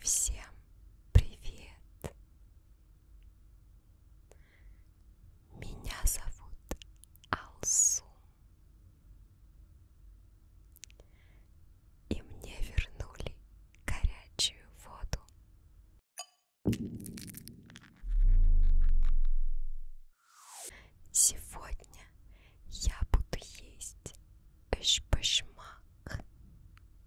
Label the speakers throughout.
Speaker 1: Всем привет! Меня зовут Алсу. И мне вернули горячую воду. Сегодня я буду есть эшпашмак.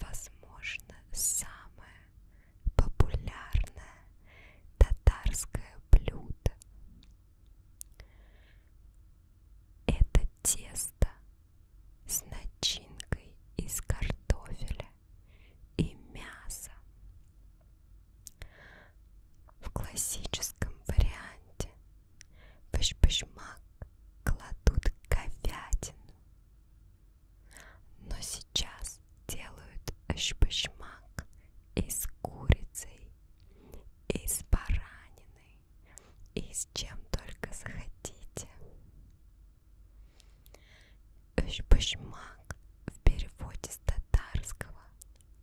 Speaker 1: возможно, самое популярное татарское блюдо. Это тесто с начинкой из картофеля и мяса. В классическом варианте в башмак кладут говядину, но сейчас делают шпашмак из курицы, из баранины, и с чем только захотите. Шпашмак в переводе с татарского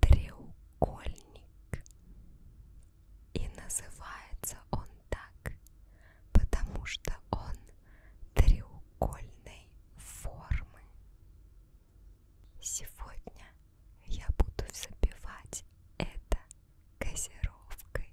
Speaker 1: треугольник. И называется он так потому что он треугольной формы. Сегодня я буду забивать это газировкой.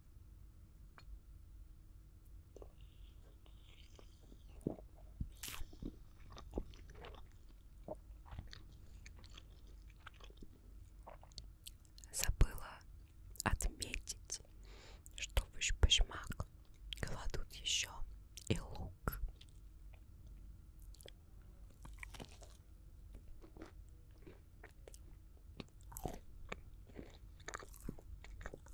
Speaker 1: Забыла отметить, что в башмак кладут еще и лук.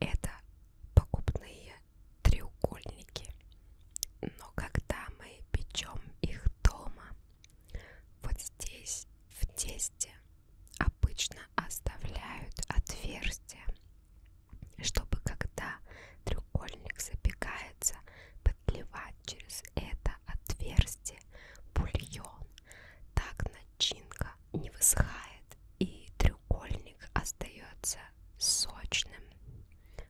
Speaker 1: Это покупные треугольники, но когда мы печем их дома, вот здесь в тесте обычно оставляют отверстие, чтобы когда треугольник запекается, подливать через это отверстие бульон. Так начинка не высыхает и треугольник остается сочным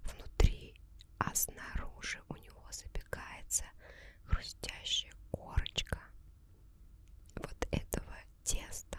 Speaker 1: внутри, а снаружи у него запекается хрустящая корочка вот этого теста.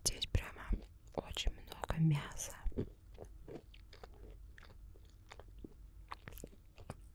Speaker 1: Здесь прямо очень много мяса.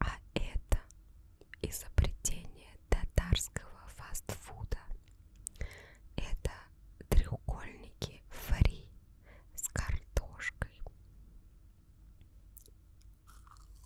Speaker 1: А это изобретение татарского фастфуда. Это треугольники фри с картошкой.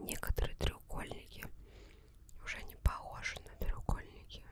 Speaker 1: Некоторые треугольники уже не похожи на треугольники.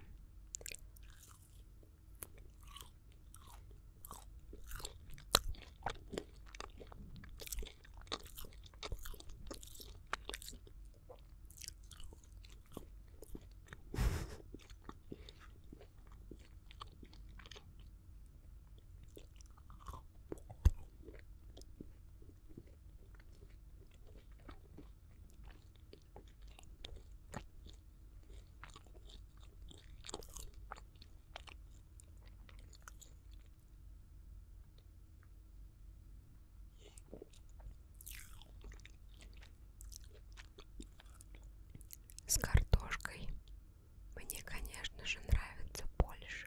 Speaker 1: С картошкой мне, конечно же, нравится больше.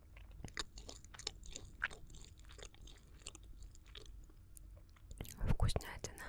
Speaker 1: Вкуснятина.